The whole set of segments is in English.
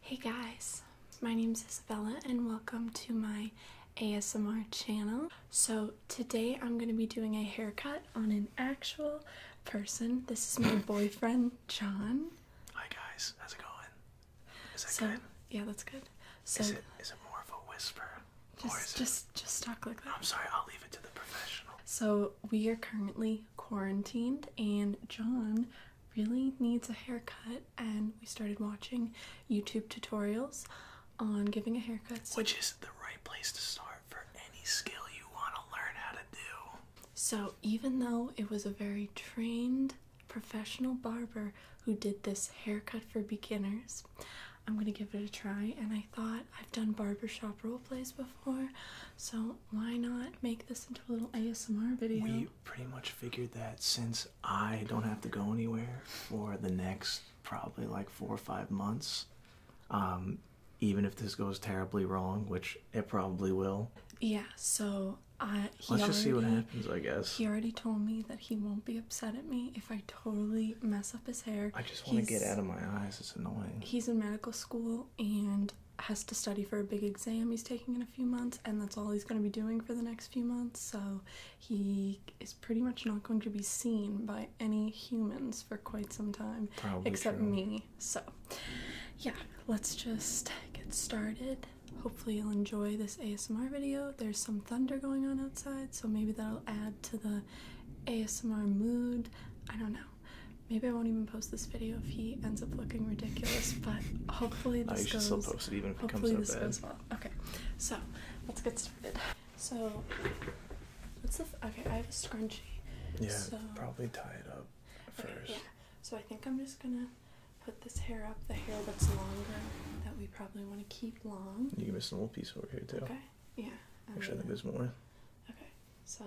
Hey guys, my name is Isabella and welcome to my ASMR channel. So today I'm going to be doing a haircut on an actual person. This is my boyfriend, John. Hi guys, how's it going? Is it good? Yeah, that's good. is it more of a whisper? Just, just, it... just talk like that. I'm sorry, I'll leave it to the professional. So we are currently quarantined and John really needs a haircut, and we started watching YouTube tutorials on giving a haircut. So Which is the right place to start for any skill you want to learn how to do. So, even though it was a very trained professional barber who did this haircut for beginners, I'm gonna give it a try. And I thought I've done barbershop role plays before, so why not make this into a little ASMR video? pretty much figured that since I don't have to go anywhere for the next probably like four or five months, um, even if this goes terribly wrong, which it probably will. Yeah, so I. He Let's just see what happens, I guess. He already told me that he won't be upset at me if I totally mess up his hair. I just want to get out of my eyes. It's annoying. He's in medical school and has to study for a big exam he's taking in a few months, and that's all he's going to be doing for the next few months. So he is pretty much not going to be seen by any humans for quite some time, except me. So, yeah, let's just get started. Hopefully, you'll enjoy this ASMR video. There's some thunder going on outside, so maybe that'll add to the ASMR mood. I don't know. Maybe I won't even post this video if he ends up looking ridiculous, but hopefully this I goes. still post it even if it comes out bad. Okay, so let's get started. So, what's the? okay, I have a scrunchie. Yeah, probably tie it up first. So I think I'm just gonna put this hair up, the hair that's longer that we probably want to keep long. You can miss a little piece over here too. Okay. Yeah. Actually, I think there's more. Okay, so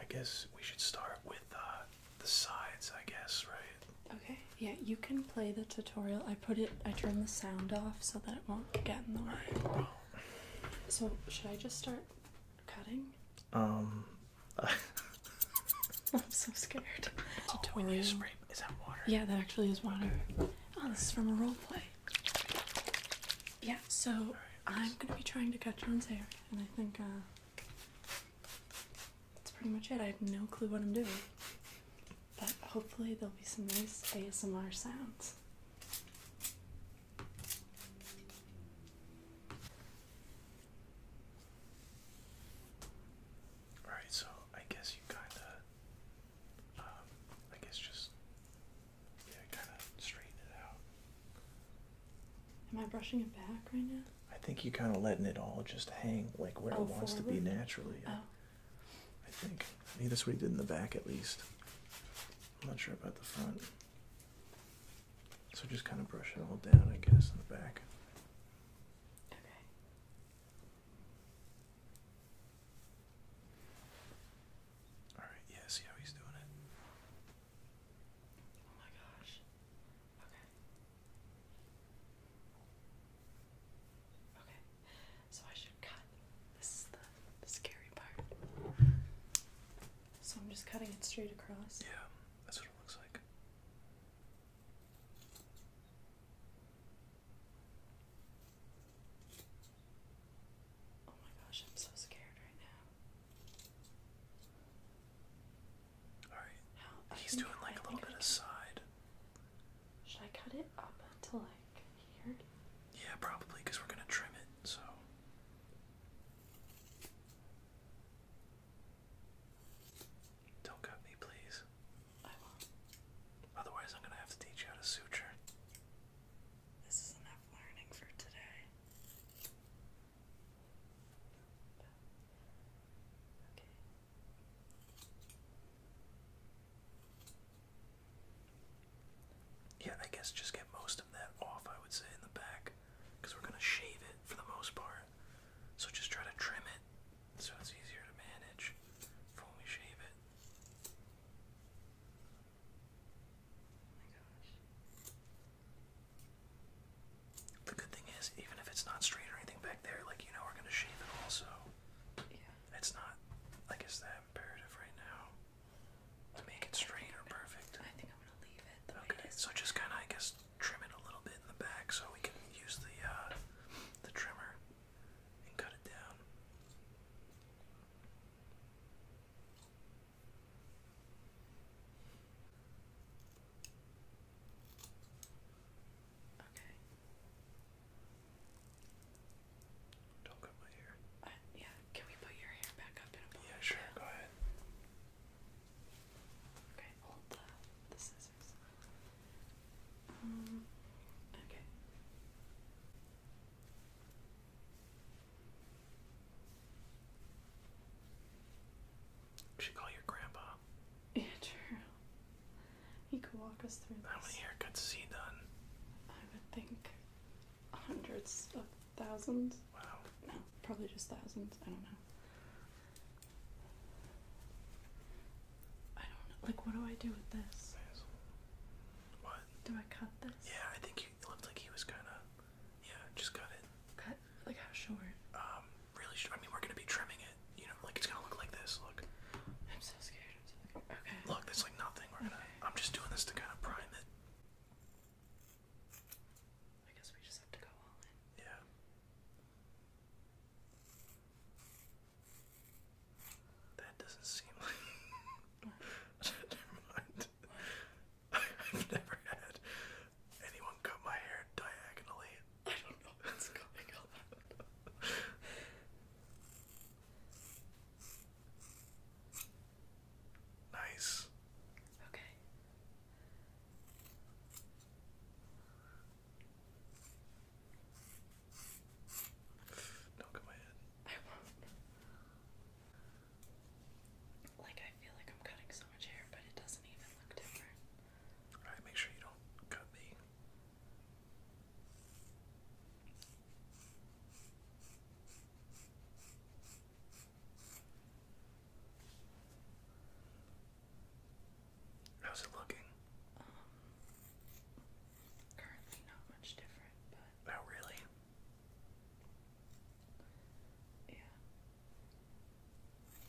I guess we should start with uh, the sides, I guess, right? Okay, yeah, you can play the tutorial. I put it, I turned the sound off so that it won't get in the way. So, should I just start cutting? Um. I'm so scared. Oh, tutorial. Spray, is that water? Yeah, that actually is water. Oh, this is from a role play. Yeah, so I'm gonna be trying to cut John's hair, and I think, uh, that's pretty much it. I have no clue what I'm doing. But hopefully, there'll be some nice ASMR sounds. Alright, so I guess you kind of, um, I guess just, yeah, kind of straighten it out. Am I brushing it back right now? I think you're kind of letting it all just hang like where it oh, wants to be naturally. Oh. I think. I think that's what he did in the back at least. I'm not sure about the front. So just kind of brush it all down, I guess, in the back. Okay. Alright, yeah, see how he's doing it. Oh my gosh. Okay. Okay. So I should cut. This is the, scary part. So I'm just cutting it straight across. Yeah, that's what it looks like. Oh my gosh, I'm so scared right now. He's doing like a little bit aside. Should I cut it up to like here? Yeah, probably because we're gonna trim it, so don't cut me please. Otherwise I'm gonna have to teach you how to suture. This is enough learning for today. Yeah, I guess just get most of that off, I would say, in the back. Because we're going to shave it for the most part. So just try to trim it so it's easier to manage for we shave it. Oh the good thing is, even if it's not straight or anything back there, like you know, we're gonna shave it also. It's not like it's that imperative right now to make it straight or perfect. I think I'm gonna leave it. okay. so just kind of, I guess, trim it a little bit in the back so we can use the uh, the trimmer and cut it down. Okay. Don't cut my hair. Uh, yeah, can we put your hair back up Yeah, sure, go ahead. Okay, hold the, the scissors. Mm, okay should call your grandpa. Yeah, true. He could walk us through this. How many haircuts has he done? I would think hundreds of thousands. Wow. No, probably just thousands. I don't know. I don't know. Like, what do I do with this? What? Do I cut this? Yeah, I think he looked like he was gonna. Yeah, just cut it. Cut? Like, how short? Um, really sure. I mean, we're gonna be trimming it. You know, like it's gonna look like this. Look. I'm so scared. Okay. Look, that's like nothing. We're gonna. I'm just doing this to kind of prime it. I guess we just have to go all in. Yeah. That doesn't seem like. Never mind. I've never had anyone cut my hair diagonally. I don't know what's going on. nice. Okay. Don't cut my head. I won't. Like I feel like I'm cutting so make sure you don't cut the. How's it looking? Um, currently not much different, but. Oh, really? Yeah.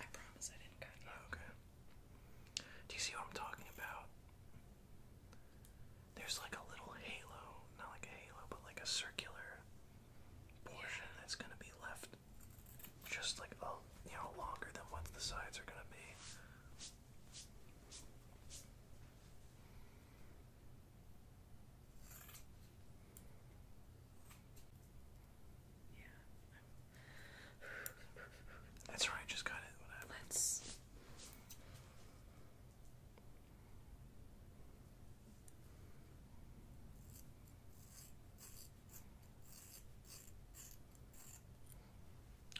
I promise I didn't cut you. Oh, okay. Do you see what I'm talking about? There's like a little halo, not like a halo, but like a circular portion that's going to be left just like a you know longer than what the sides are going to be. Yeah. That's right, just got it. Whatever. Let's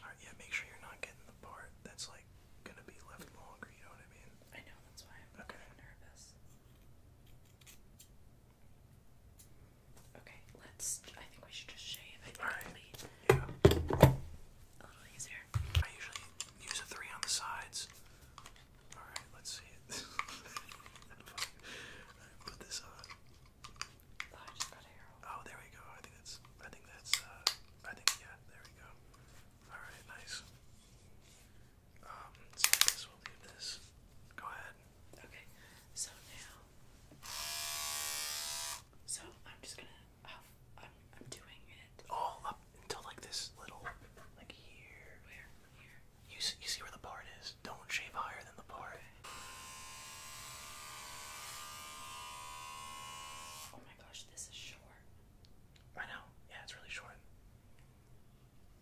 Alright, yeah, make sure you're not getting the part that's like gonna be left longer, you know what I mean? I know, that's why I'm okay. nervous. Okay, let's. I think we should just shave. it. right. yeah. A little easier. I usually use a three on the sides all right, let's see it. put this on. Oh, oh, there we go. I think that's. I think that's. Uh, I think yeah. There we go. All right, nice. Um, so we'll leave this. Go ahead. Okay. So now. So I'm just gonna. I'm. I'm doing it. All up until like this little. Like here. Where? Here. You see, you see where the part is. Don't shave higher than the part. Oh my gosh, this is short. I know. Yeah, it's really short.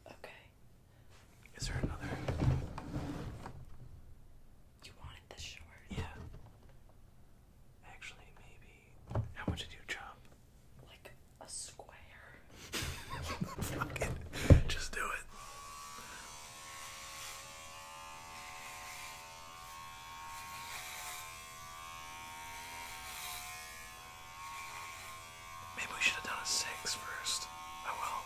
Okay. Is there another? You wanted this short? Yeah. Actually, maybe. How much did you chop? like a square. Fuck it. Just do it. Maybe we should have done a six first. Oh well.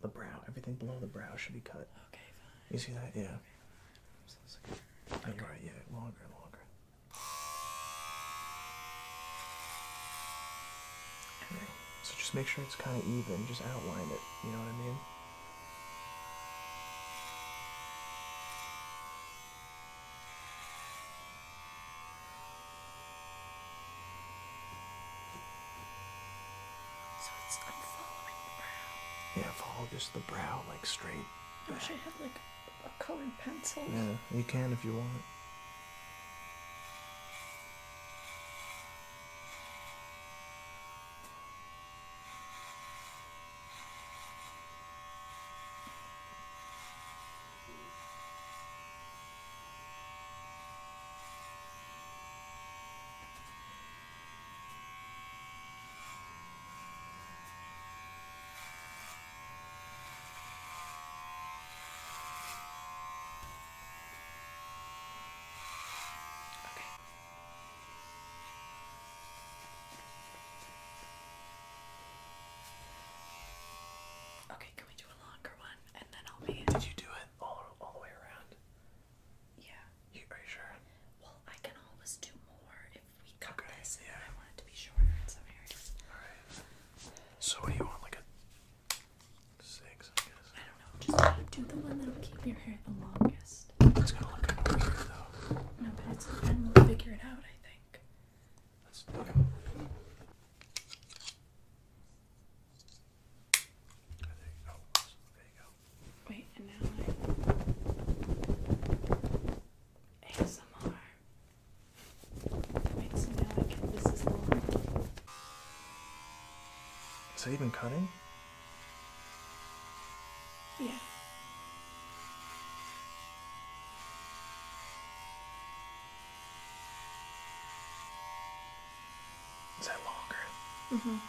the, brow. Everything below the brow should be cut. Okay, fine. You see that? Yeah. All right, yeah, longer, longer. Okay. Yeah. So just make sure it's kind of even. Just outline it. You know what I mean? Yeah, follow just the brow like straight. I wish I had like a colored pencil. Yeah, you can if you want. Okay. Okay, can we do a longer one and then I'll be in? Did you do it? all all the way around. Yeah. are you sure? Well, I can always do more if we cut this. Yeah. I want to be shorter Alright. So what do you want, like a six, I guess? I don't know. Just do the one that'll keep your hair the longest. It's gonna look good though. No, but it's and we'll figure it out, I think. Let's Wait, and now I ASMR. That makes me this is the Is it even cutting? Yeah. Is that longer? Mm-hmm. Up.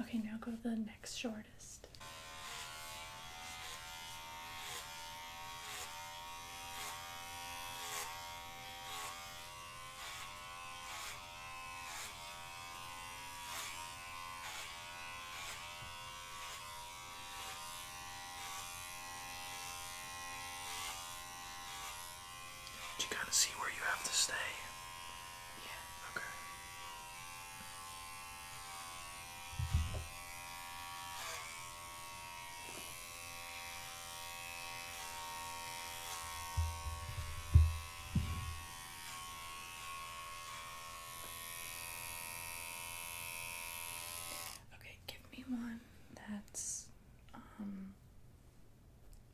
Okay, now go to the next shortest. Did you kind of see where you have to stay? Yeah. Okay. Okay, give me one that's um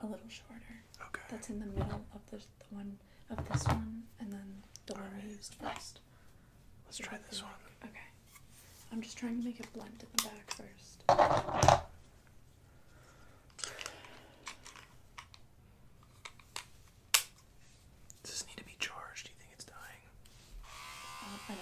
a little shorter. Okay. That's in the middle of the one of this one and then the one right. we used first. Let's try this one. okay. I'm just trying to make it blunt at the back first. Does this need to be charged? Do you think it's dying? Uh,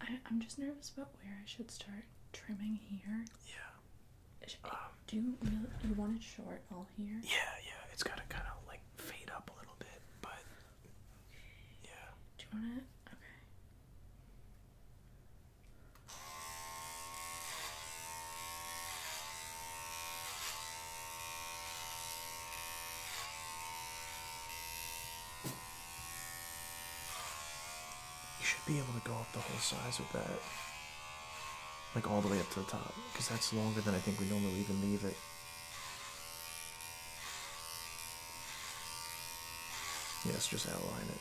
I, I'm just nervous about where I should start trimming here. Yeah. Eh, do you want it short all here? Yeah, yeah. It's gotta kind of like fade up a little bit, but yeah. Do you want it? Okay. You should be able to go up the whole size with that. Like all the way up to the top, because that's longer than I think we normally even leave it. Yes, just outline it.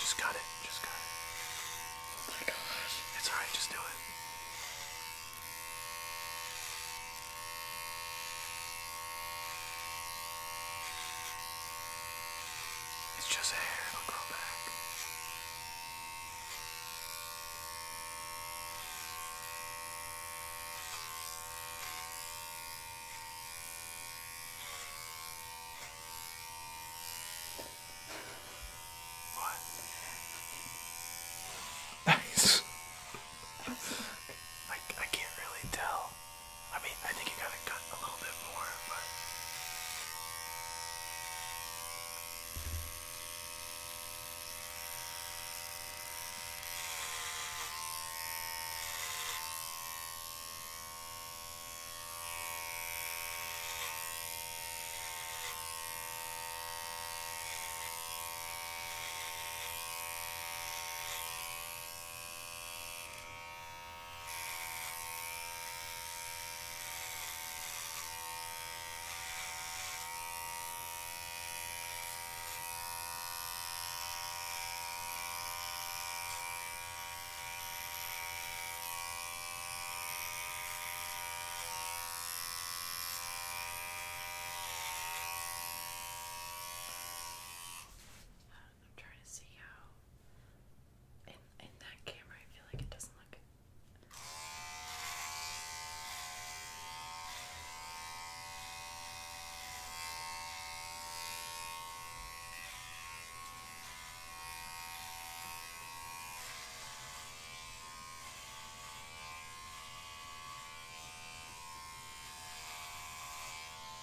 Just cut it. Just cut it. Oh my gosh. It's alright, just do it. It's just hair, it'll grow back. What? Nice. I, I can't really tell. I mean, I think you gotta cut a little bit more, but. I'm trying to see how in in that camera, I feel like it doesn't look.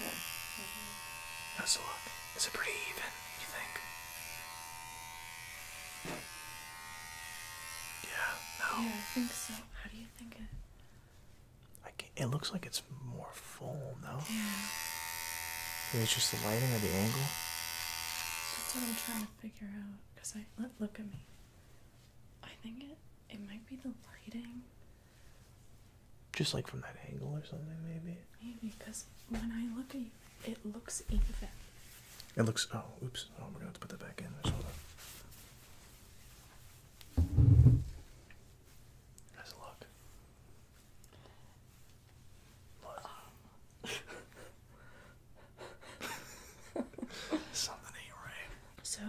Okay. That's a lot. Is it pretty even, you think? Yeah, no. Yeah, I think so. How do you think it? I can't, it looks like it's more full, though. Yeah. Maybe it's just the lighting or the angle? That's what I'm trying to figure out. Cause I look, look at me. I think it it might be the lighting. Just like from that angle or something, maybe. Maybe because when I look at you, it looks even. It looks. Oh, oops. Oh, we're gonna have to put that back in. There's hold on. Um. Something ain't right. So,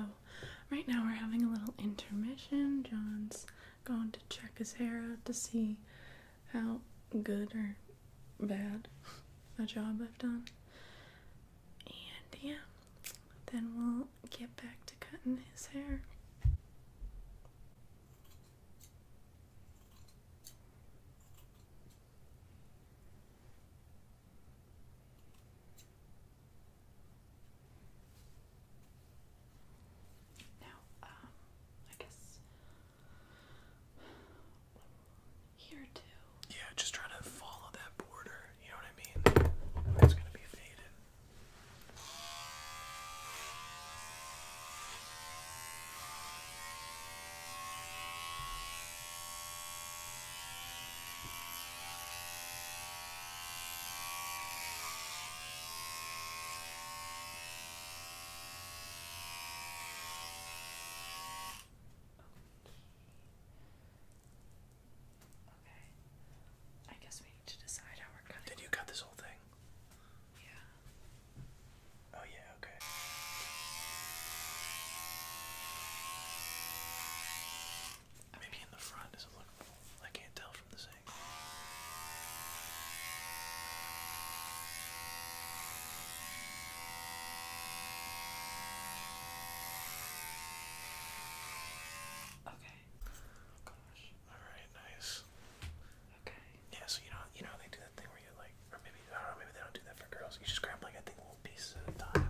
right now we're having a little intermission. John's Going to check his hair out to see how good or bad a job I've done. And yeah, then we'll get back to cutting his hair. Now, um, I guess here too. Yeah, just trying to follow that border. You know what I mean? It's gonna be faded. Okay. I guess we need to decide how we're cutting. Did you cut this whole thing? Yeah. Oh yeah, okay. Maybe in the front doesn't look. I can't tell from the angle. Okay. gosh. Alright, nice. Okay. Yeah, so you know you know they do that thing where you like or maybe I don't know, maybe they don't do that for girls. You just grab like I think little pieces at a time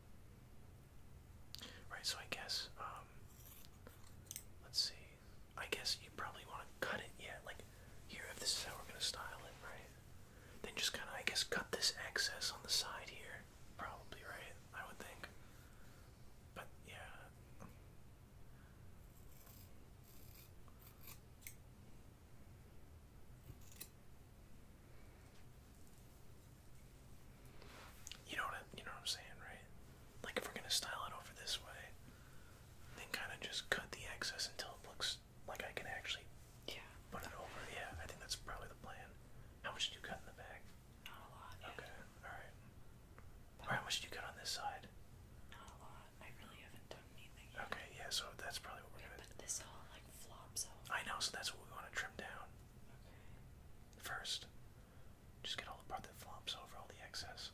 Right, so I guess, um, let's see. I guess you probably want to cut it, yeah. Like, here, if this is how we're going to style it, right? Then just kind of, I guess, cut this excess on the side here. Probably, right? I would think. But, yeah. You know what you know what I'm saying, right? Like if we're gonna style it over this way, then kind of just cut the excess until it looks like I can actually yeah put it over. Yeah, I think that's probably the plan. How much did you cut in the back? Not a lot. Okay, all right. all right, how much did you cut on this side? Not a lot. I really haven't done anything. Okay, yeah. So that's probably what we're yeah, But this all like flops out. I know, so that's what we want to trim down. Okay. First. Just get all the part that flops over all the excess.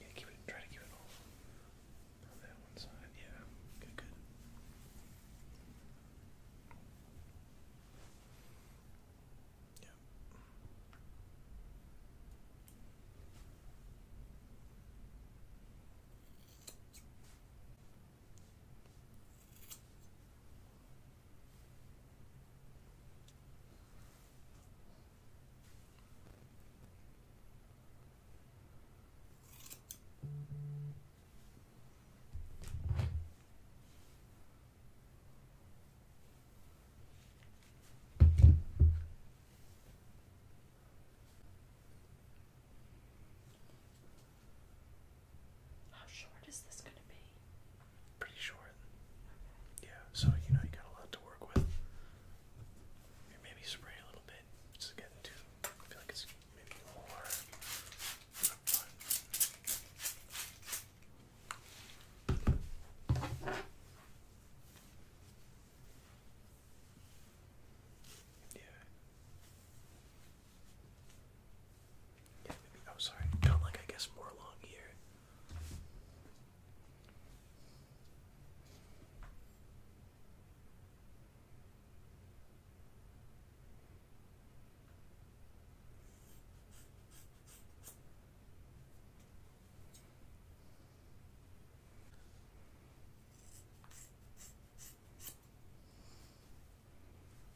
Yeah, keep it. Try to keep it off that one side. Yeah, good, good. Yeah. How short is this going to be? pretty short. Yeah, so you know you got a lot to work with. Maybe spray a little bit. It's getting too. feel like it's maybe more. Yeah. Yeah, maybe. Oh, sorry. Kind like I guess more along here.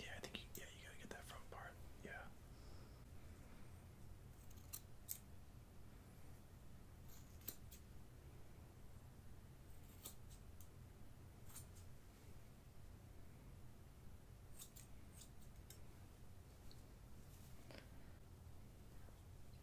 Yeah, I think you, yeah, you gotta get that front part. Yeah.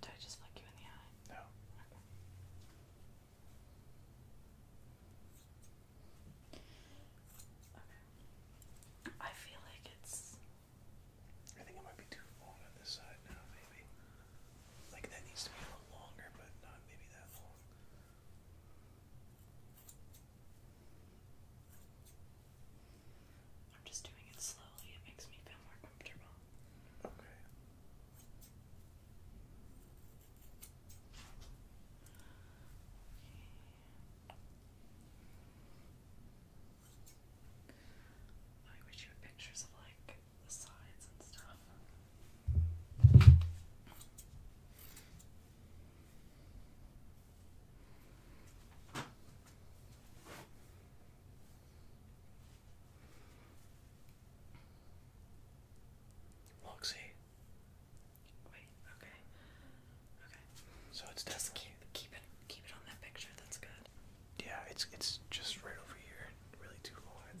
Did I just flick you in the eye? No. Okay. I feel like it's. I think it might be too long on this side now, maybe. Like that needs to be a little longer, but not maybe that long. I'm just doing it slowly, it makes me feel more comfortable. Okay. I wish you had pictures of like the sides and stuff. Loxy. Wait, okay. Okay. So it's just keep it keep it on that picture, that's good. Yeah, it's it's just right over here. Really too long,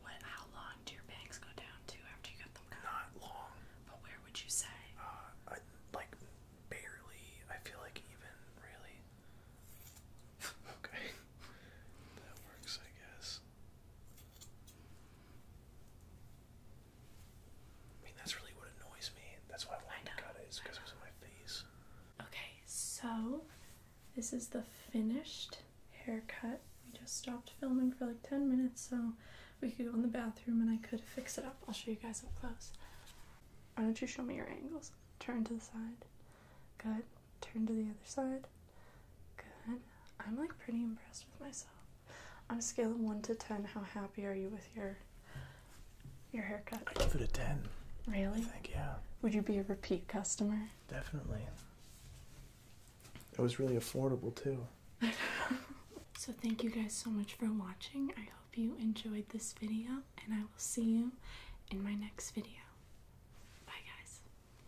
What? How long do your bangs go down to after you got them Not long. But where would you say? Uh, like barely. I feel like even really. okay, that works, I guess. I mean, that's really what annoys me. That's why I wanted to cut it, is because it was in my face. Okay, so this is the finished haircut. We just stopped filming for like 10 minutes, so we could go in the bathroom and I could fix it up. I'll show you guys up close. Why don't you show me your angles? Turn to the side. Good turn to the other side. Good. I'm like pretty impressed with myself. On a scale of one to ten, how happy are you with your your haircut? I give it a ten. Really? I think yeah. Would you be a repeat customer? Definitely. It was really affordable too. so thank you guys so much for watching. I hope you enjoyed this video and I will see you in my next video. Bye guys.